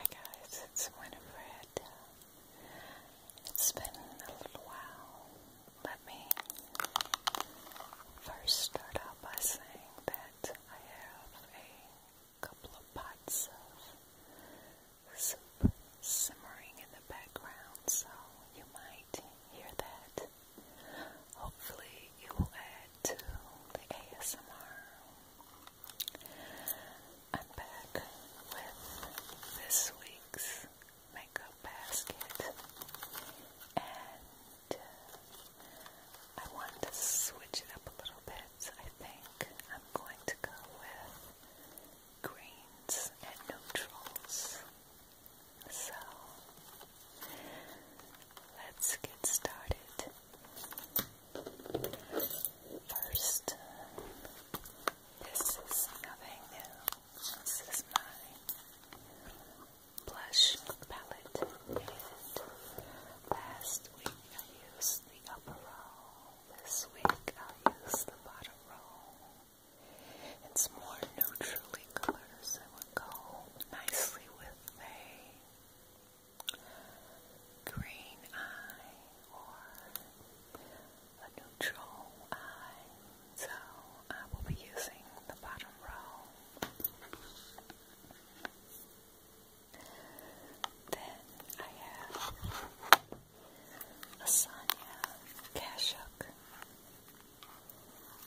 Hi guys, it's Winifred. It's been a little while. Let me first start out by saying that I have a couple of pots of soup simmering in the background, so you might hear that. Hopefully, it will add to the ASMR. I'm back with this week's makeup basket, and uh, I want to switch it up a little bit. I think I'm going to go with greens and neutrals. So let's get started. First, this is nothing new. This is my blush palette, and last week I used the upper row. This week i use the bottom row. It's more neutrally colors that would go nicely with a green eye or a neutral eye. So I will be using the bottom row. Then I have Asanya Kashuk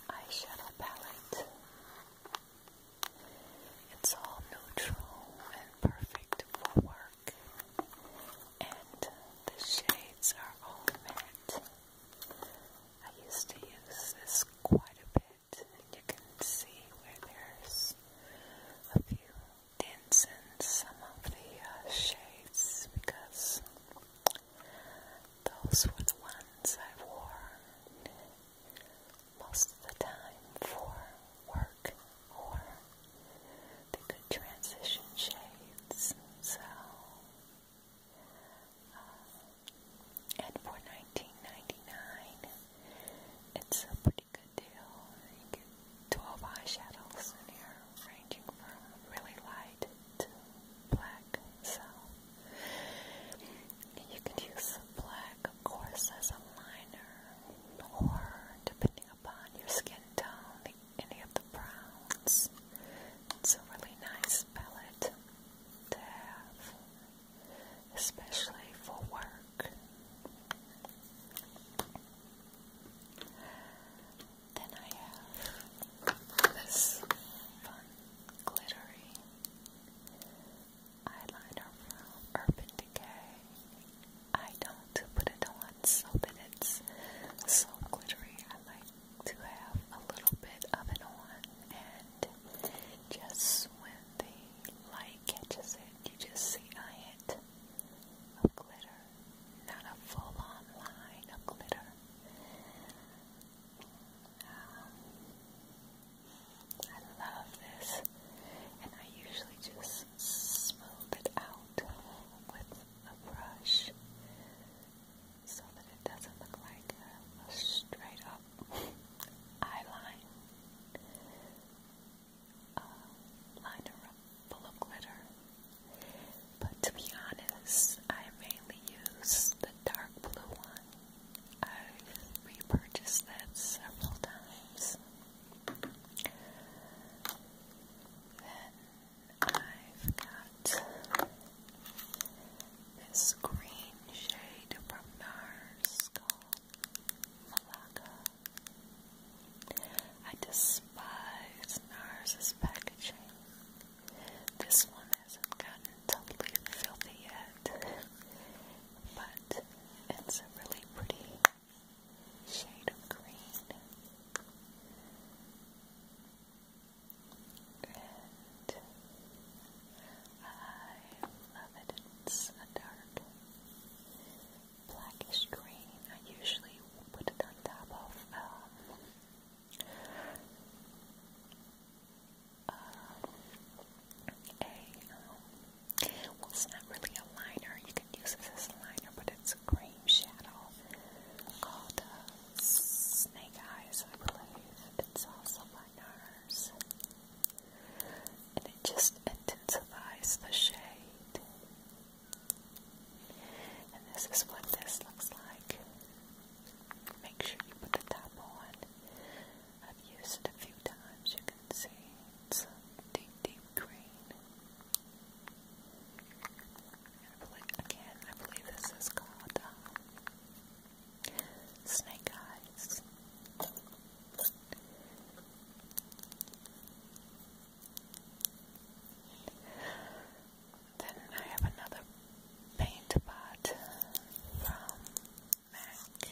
eyeshadow palette. It's all neutral and perfect for work. And the shades are all matte. I used to use this quite a bit. And you can see where there's a few dents in some of the uh, shades because those were the ones I wore most of the time for work or the good transition shades. So, uh, and for 19 99 it's a pretty good deal. You get 12 eyeshadows in here, ranging from really light to black. So, you could use black, of course, as a liner, or depending upon your skin tone, any of the browns. It's a really nice palette to have, especially for work. Then I have this fun glittery eyeliner from Urban Decay. I don't put it on so that it's so glittery. I like to have a little bit of it on, and just when the light catches it, you just see a hint of glitter, not a full on line of glitter. Um, I love this, and I usually just smooth it out with a brush so that it doesn't look like a, straight up eye uh, full of glitter. But to be honest, I mainly use the dark blue one I've repurchased that several times. Then I've got this green shade from NARS called Malacca. I despise NARS's packaging. This one hasn't gotten totally filthy yet but it's a really pretty shade of green. And I love it. It's a dark blackish green. I usually put it on top of um, um, um, it's not really a liner, you can use this as a liner, but it's a cream shadow called uh, Snake Eyes, It's also by NARS. And it just intensifies the shade. And this is what this looks like. Make sure you put the top on. I've used it a few times, you can see it's a deep, deep green. I believe, again, I believe this is called um, Snake Eyes. Then I have another paint pot from MAC not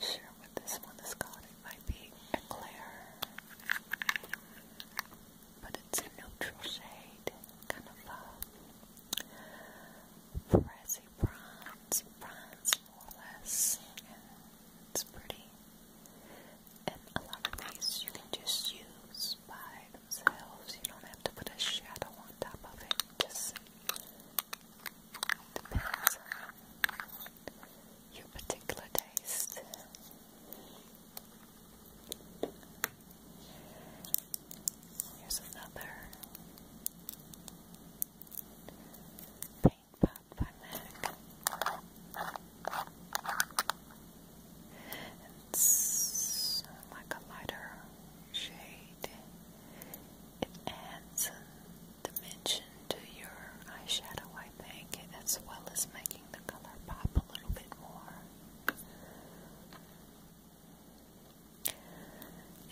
sure what this one is called, it might be Eclair but it's a neutral shade, kind of a brassy bronze, bronze more or less, it's pretty. And a lot of these you can just use just by themselves. You don't have to put a shadow on top of it. Just depends on your particular taste. Here's another paint pot by Mac. It's like a lighter shade. It adds a dimension to your eyeshadow, I think, as well as making the color pop a little bit more.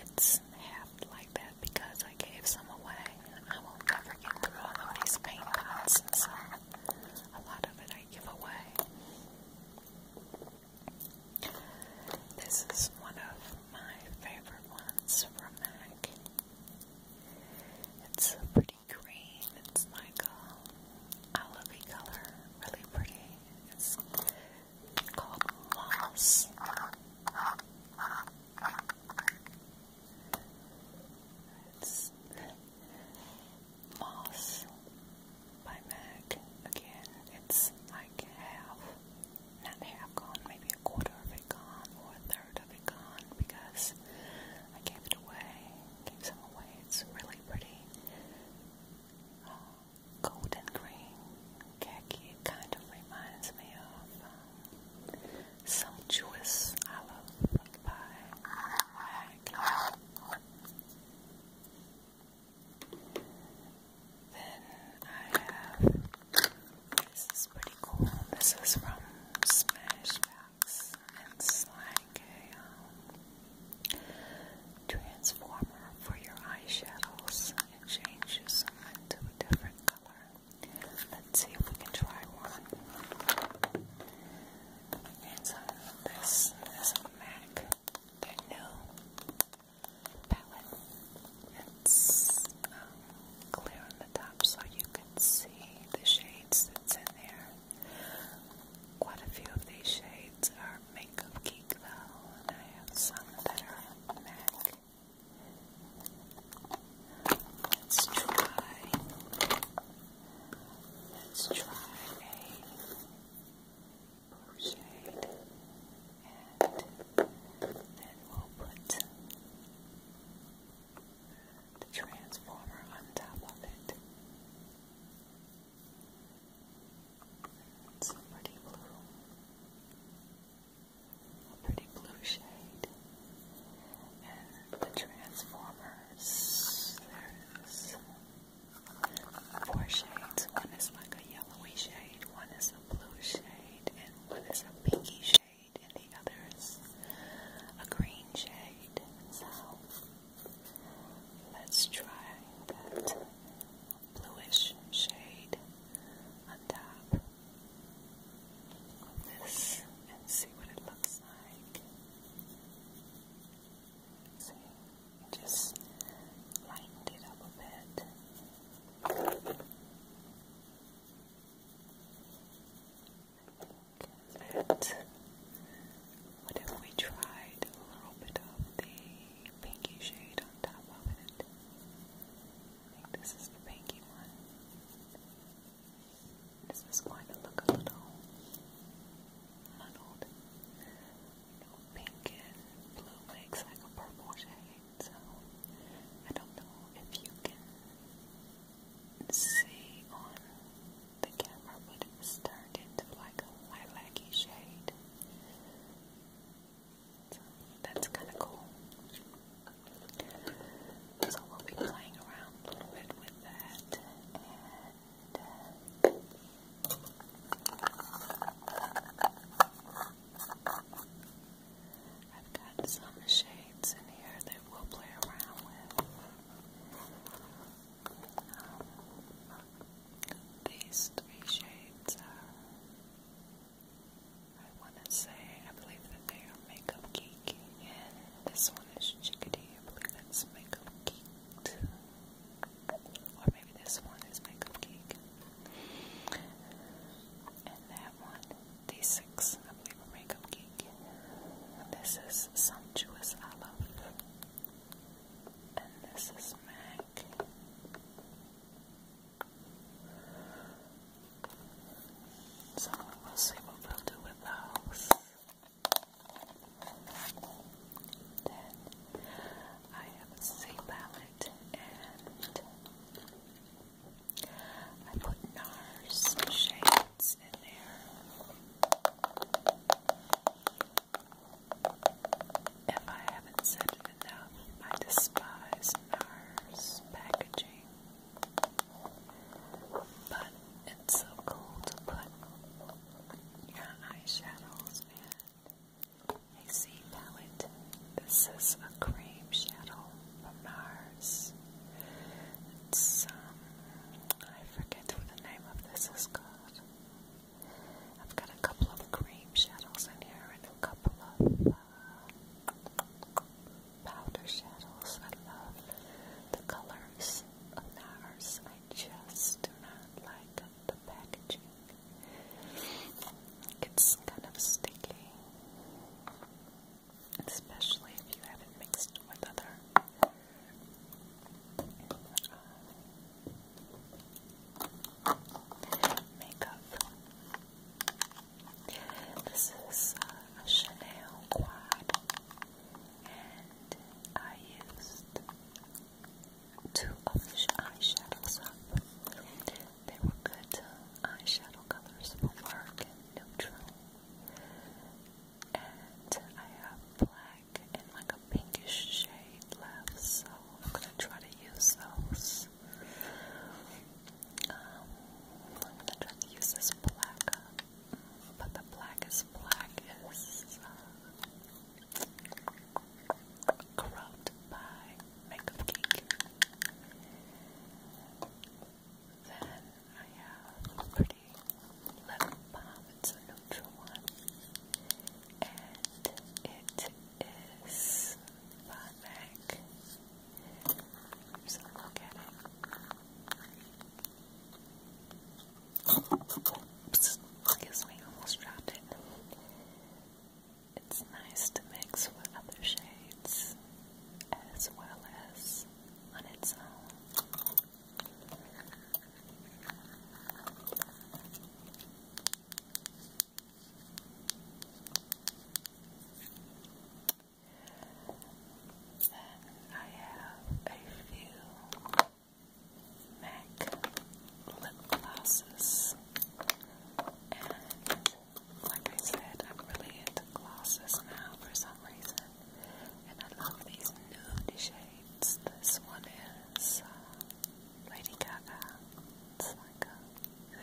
It's half like that because I gave some away. I will never get through all of these paint pots, and so a lot of it I give away. This is one of my favorite ones from MAC. It's so pretty green. It's like a olivey color. Really pretty. It's called Moss. Moss by MAC. Again, it's like half, not half gone, maybe a quarter of it gone or a third of it gone because I gave it away, gave some away. It's really pretty. Uh, golden green it kind of reminds me of Sumptuous Olive by then I have this is pretty cool. This is from Smashbox. It's like a transformer for your eyeshadows. It changes into a different color. Let's see if we can try one. And so this is a MAC, their new palette. It's um, clear on the top so you can see the shades that's in there. Quite a few of these shades are Makeup Geek though, and I have some that are MAC. Let's try. Let's try a shade, and then we'll put the transformer on top of it. It's a pretty blue, a pretty blue shade, and the transformers. There's four shades. One is like a yellowy shade, one is a blue shade, and one is a pinky shade, and the other is a green shade. So let's try that bluish shade on top of this and see what it looks like. See, just lightened it up a bit. That what if we tried a little bit of the pinky shade on top of it? I think this is the pinky one. This is going to look a little, muddled. pink and blue makes like a purple shade, so I don't know if you can see on the camera, but it's turned into like a lilac-y shade. So that's kind of cool. So we'll be playing around a little bit with that, I've got some shades in here that we'll play around with. Um, these three shades are, I want to say, I believe that they are Makeup Geek, and this one is Chickadee, I believe that's Makeup Geek. Or maybe this one is my cupcake. And that one, these six, I believe, are this is Sumptuous Olive. And this is Mac. So we'll see what we'll do with those. Then I have a C palette and I put NARS shades in there. If I haven't said it enough, I despise NARS packaging. But so cold. to put your eyeshadows in a sea palette. This is a cream shadow from Mars. It's, um, I forget what the name of this is called. I've got a couple of cream shadows in here and a couple of uh, powder shadows. I love the colors of Mars. I just do not like the packaging. It's kind of sticky, especially if you have it mixed with other. Uh, makeup. This is uh, a Chanel quad and I used two of the eyeshadows up. They were good eyeshadow colors for and neutral. And I have black and like a pinkish shade left, so I'm gonna try to use those. Um, I'm gonna try to use this black but the blackest black is uh, Corrupt by Makeup Geek. Then I have pretty lip balm. It's a neutral one. And it is by MAC. So look at it. Because I almost dropped it. It's nice to mix with other shades as well as on its own. Then I have a few MAC lip glosses. And like I said, I'm really into glosses now for some reason. And I love these nude shades. This one is uh, Lady Gaga. It's like a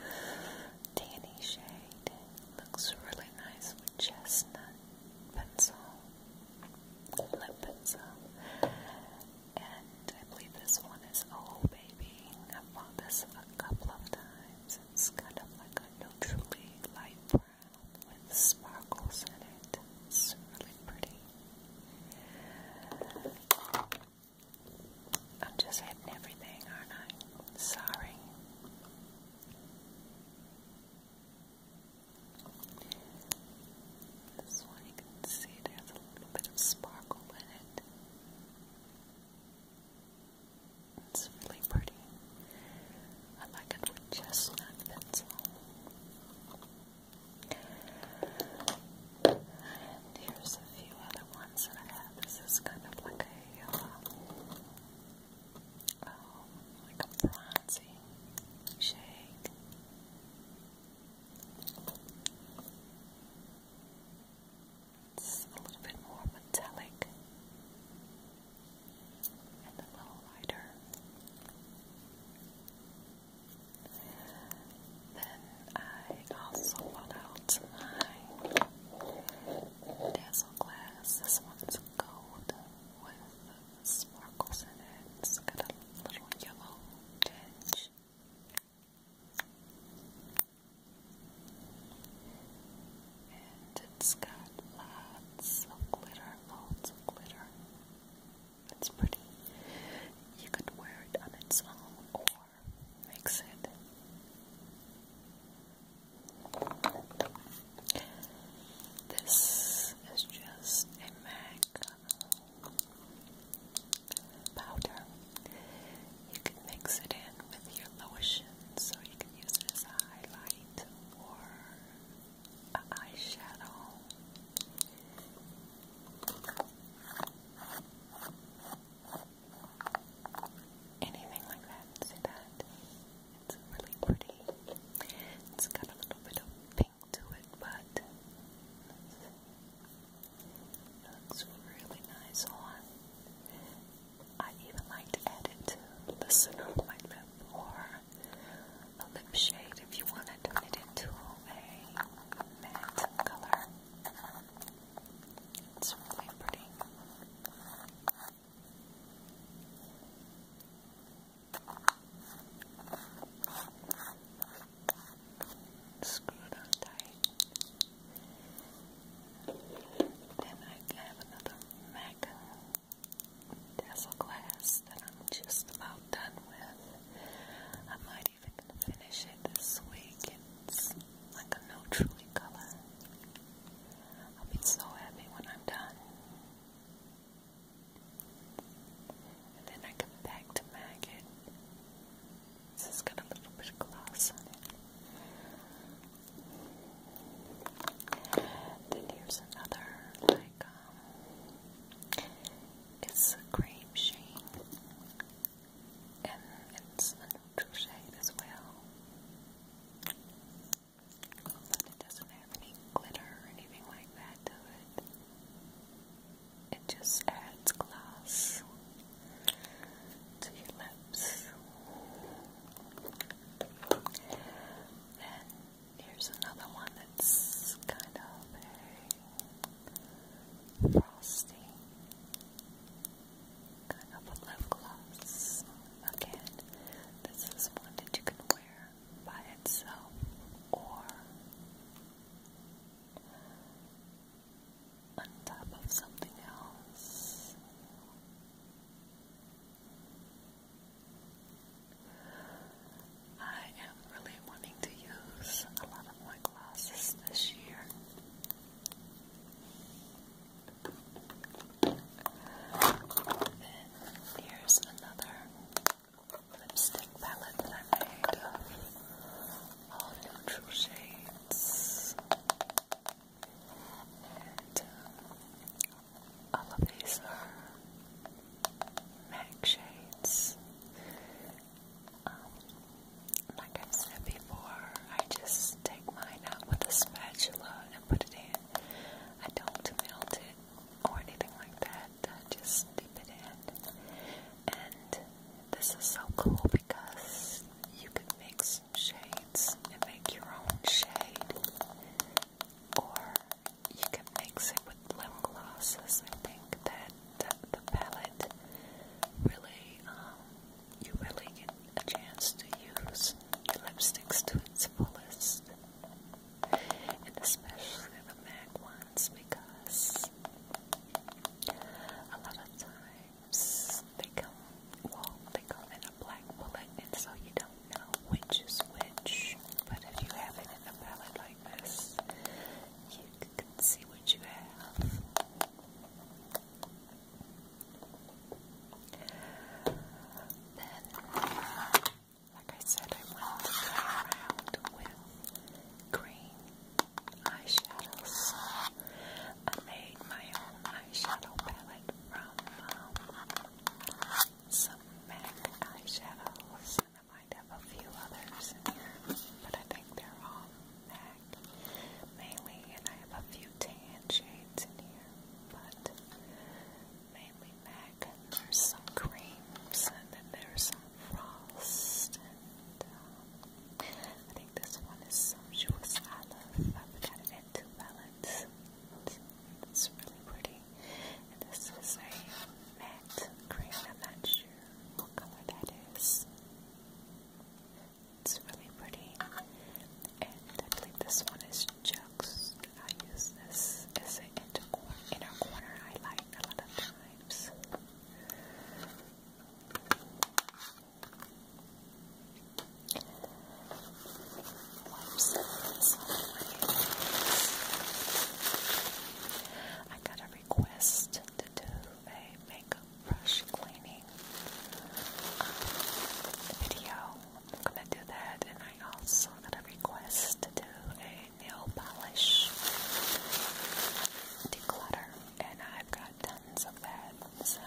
tanny shade. Looks really nice with chestnut pencil lip And I believe this one is Oh Baby. I've bought this a couple of times. It's kind of like a neutrally light brown with sparkles in it. It's really pretty. I'm just hitting everything, aren't I? Sorry. This one you can see it has a little bit of sparkle in it. It's really pretty. I like it with chestnut pencil. And here's a few other ones that I have. This is kind of like a uh, um, like a bronzy shade. It's a little bit more metallic and a little lighter. Then I also bought out my dazzle glass. This one's gold with sparkles in it. a little yellow tinge. And it's got lots of glitter, loads of glitter. It's pretty. You could wear it on its own or mix it this is just a MAC powder. You can mix it in with your lotion, so you can use as a highlight or an eyeshadow. Anything like that, see that? It's really pretty. It's got a little bit of pink to it, but it looks really nice on. Oh, I even like to add it to the center of my lip or a lip shade if you want to turn it into a matte color. It's really pretty. Screwed on Then I have another MAC glass that I'm just about done with. I might even finish it this week. It's like a no color. I'll be so happy when I'm done. And then I come back to Maggot. This has got a little bit of gloss on it. Then here's another, like, um, it's a cream shade. And it's a neutral shade as well it doesn't have any glitter or anything like that it. just adds gloss to your lips. Then here's another one that's kind of frosty of a lip gloss. Again, this is one that you can wear by itself or on top of something else. I am really wanting to use a lot of my glosses this year. Then here's another lipstick palette that I made of all neutral shades. And uh, all of these are MAC shades. Um, like I've said before, I just take mine out with a spatula and put it in I don't melt it or anything like that. I just dip it in. And this is so cool because you can mix shades and make your own shade. Or you can mix it with lip glosses. I think that the palette really um, you really get a chance to use your lipsticks to its fullest. And especially the MAC ones because a lot of times they come, well, they come in a black bullet and so you don't know which is which. But if you have it in a palette like this, you can see what you have. Then, like I said, I went to play green eyeshadows. I made my own eyeshadow palette from um, some MAC eyeshadows, and I might have a few others in here, but I think they're all MAC mainly, and I have a few tan shades in here but mainly neck, there's some creams, and then there's some frost, and um, I think this one is sumptuous olive, I forgot it had two palettes, it's really pretty, and this is a matte cream, I'm not sure what color that is. It's really pretty. And I believe this one is Chuck's. I use this as inner corner, inner corner a lot of times. I got a request to do a makeup brush cleaning video. I'm gonna do that, and I also got a request to do a nail polish declutter, and I've got tons of that, so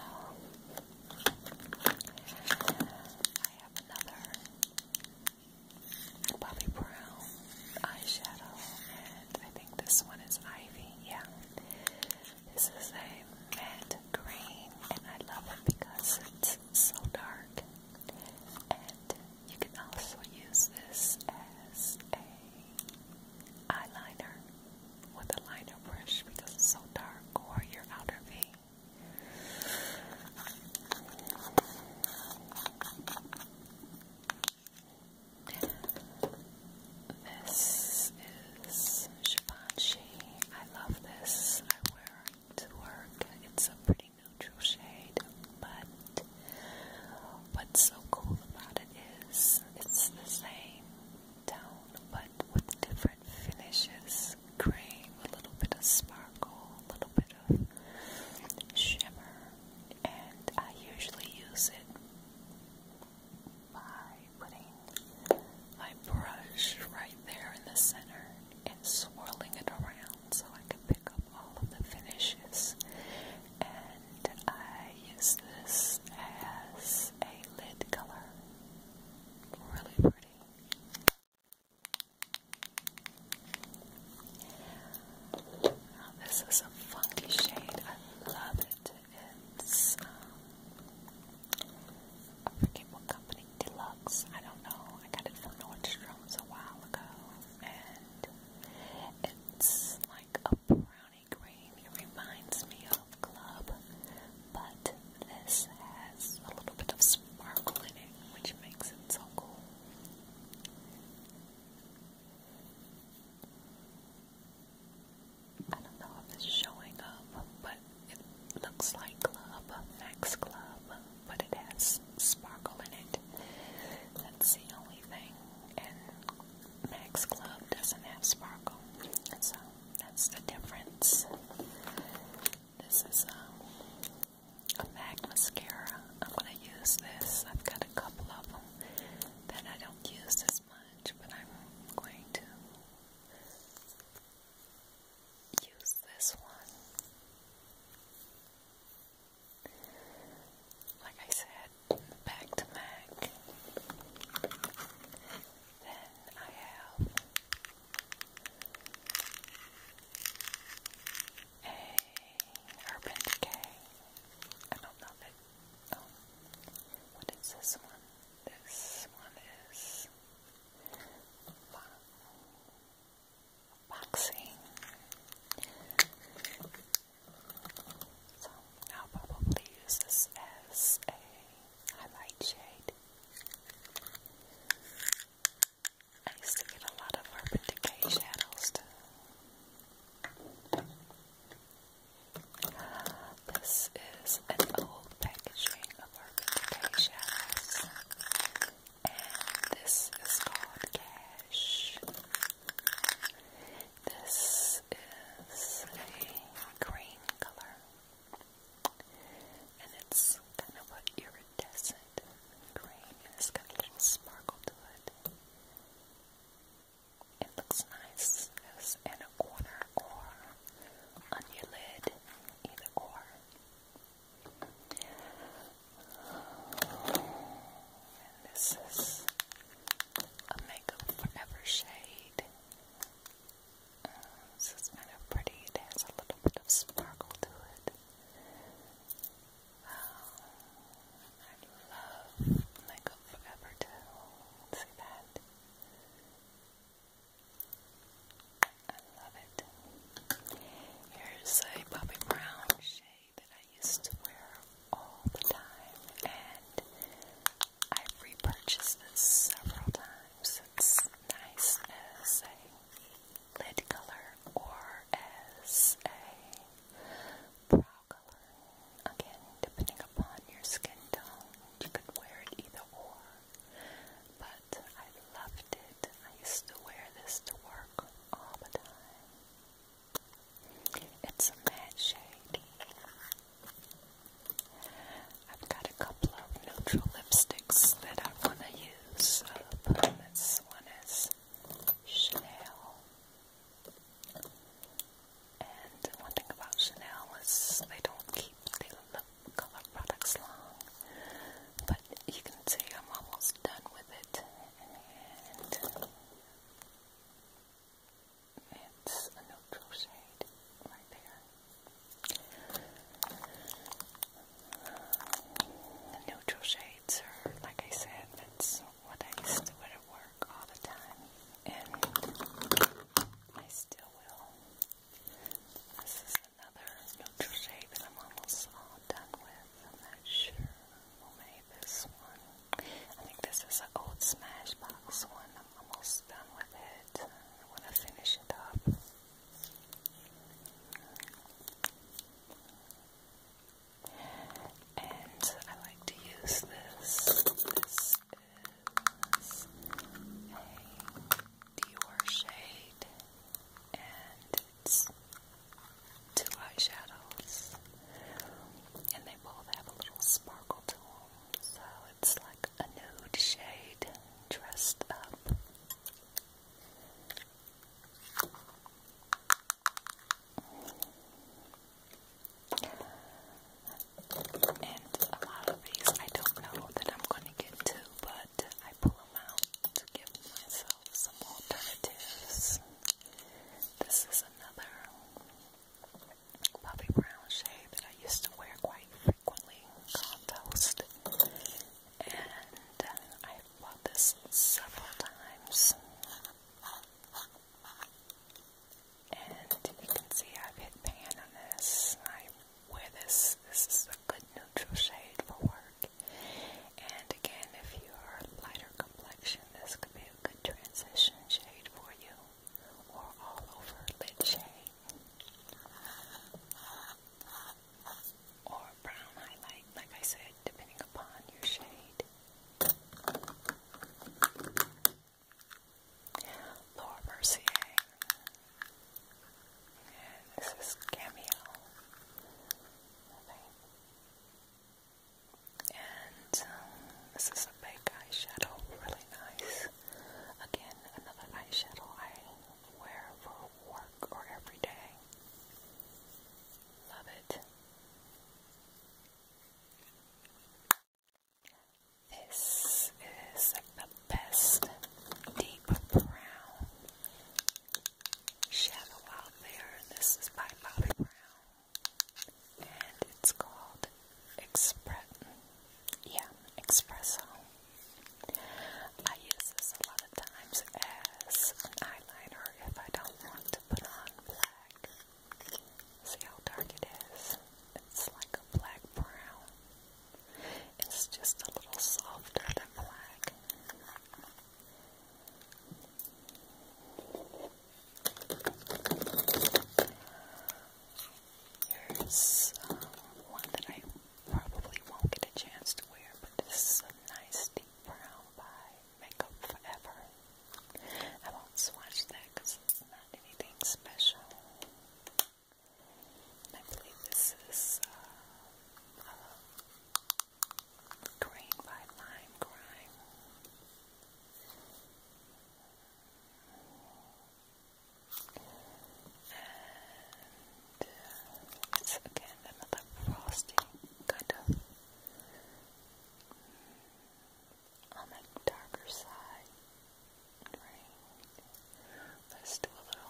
I have another Bobbi Brown eyeshadow, and I think this one is Ivy, yeah. This is a matte green, and I love it because it's so dark. And you can also use this as a eyeliner with a liner brush because it's so dark, or your outer V. This is is I love this. I wear it to work. It's a pretty neutral shade, but what's so cool about it is it's the same tone, but with different finishes. Cream, a little bit of sparkle, a little bit of shimmer, and I usually use it by putting my brush right there in the center and swirling it around so I can pick up all of the finishes. And I use this as a lid color. Really pretty. this is a funky shade. I love it it's I forget what company, Deluxe, I don't know, I got it from Nordstrom's a while ago, and it's like a brownie green, it reminds me of Club, but this has a little bit of sparkle in it, which makes it so cool. I don't know if it's showing up, but it looks like a Max Club, but it has sparkle in it. That's the only thing. And Max Club doesn't have sparkle. So that's the difference. This is um, a MAC mascara. I'm going to use this. I've got a couple of them that I don't use. This much, but I'm going to use this one. Like I said, back to Mac. Then I have a Urban Decay. I don't know that. Oh, what is this one? This one is boxing. So I'll probably use this as a highlight shade. I used to get a lot of Urban Decay shadows too. This is an old packaging of our showers, and this is called Cash. This is a green color, and it's kind of an iridescent green, and it's got a little sparkle to it. It looks nice as in a corner or on your lid, either or. this is a Makeup Forever shade. Uh, this is kind of pretty. It has a little bit of sparkle to it. Um, I love Makeup Forever too. See that? I love it. Here's a Bobbi Brown shade that I used to wear all the time, and i repurchased this several times. It's nice as a lid color or as a brow color. Again, depending upon your skin tone, you could wear it either or. But I loved it. I used to wear this to work all the time. It's a matte shade. I've got a couple of neutral lipsticks that I want to use. Uh, this one is Chanel. And one thing about Chanel is they don't keep their lip color products long. But you can see I'm almost done with it. And it's a neutral shade right there. The neutral shades are, like I said, that's what I used to wear at work all the time and I still will. This is another neutral shade that I'm almost all done with. I'm not sure who made this one. I think this is an old Smashbox one. I'm almost done with it. I want to finish it up. And I like to use This is a Dior shade, and it's two eyeshadows, and they both have a little sparkle to them, so it's like a nude shade dressed up. And a lot of these I don't know that I'm going to get to, but I pull them out to give myself some alternatives. This is another puffy brown shade that I used to wear quite frequently called Toast. And I've bought this several times. And you can see I've hit pan on this. I wear this. This is a good neutral shade for work. And again, if you are lighter complexion, this could be a good transition shade for you, or all over lid shade, or brown highlight, like I said, depending upon your shade. Laura Mercier. And this is Cameo. And um, this is a big eyeshadow, really nice. Again, another eyeshadow I wear for work or every day. Love it. This is the best deep brown shadow out there. This is by Bobbi Brown, and it's called Express. Yeah, Espresso. I use this a lot of times as an eyeliner if I don't want to put on black. See how dark it is? It's like a black brown. It's just a little softer than black. Here's um, one that I probably won't get a chance to wear, but this is a nice deep brown by Makeup Forever. I won't swatch that because not anything special. I believe this is uh, green by lime grime. And uh, it's again another frosty kind of on the darker side. Let's do a little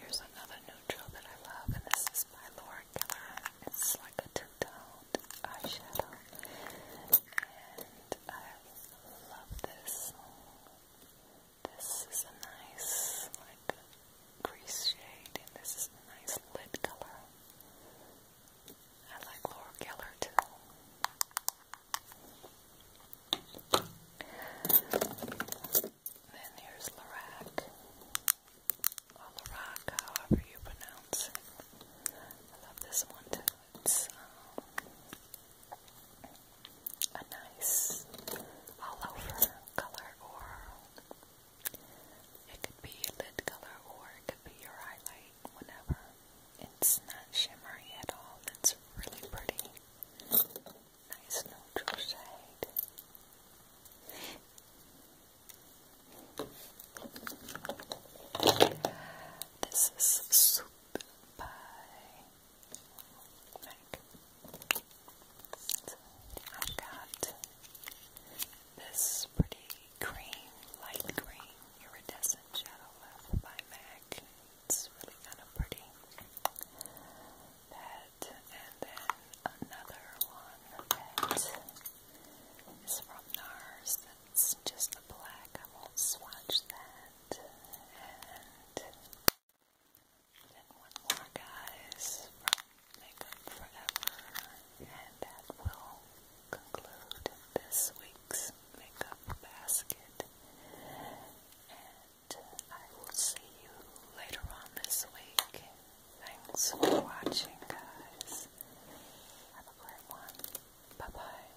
Here's another neutral that I love, and this is by Laura It's like a two-toned eyeshadow, and I love this. This is a nice, like, crease shade, and this is a nice lid color. I like Laura Keller too. Then here's Lorac, oh, Lorac, however you pronounce it. I love this one too a nice all over color, or it could be a lid color, or it could be your highlight, whatever. It's not shimmery at all, it's really pretty. Nice neutral shade. This is Soup by like, I've got this pretty green, light green iridescent shadow by MAC. It's really kind of pretty. and then another one that is from NARS that's just a black. I won't swatch that. And one more, guys, Makeup Forever, and that will conclude this week's makeup basket. And I will see you later on this week. Thanks for watching, guys. Have a great one. Bye bye.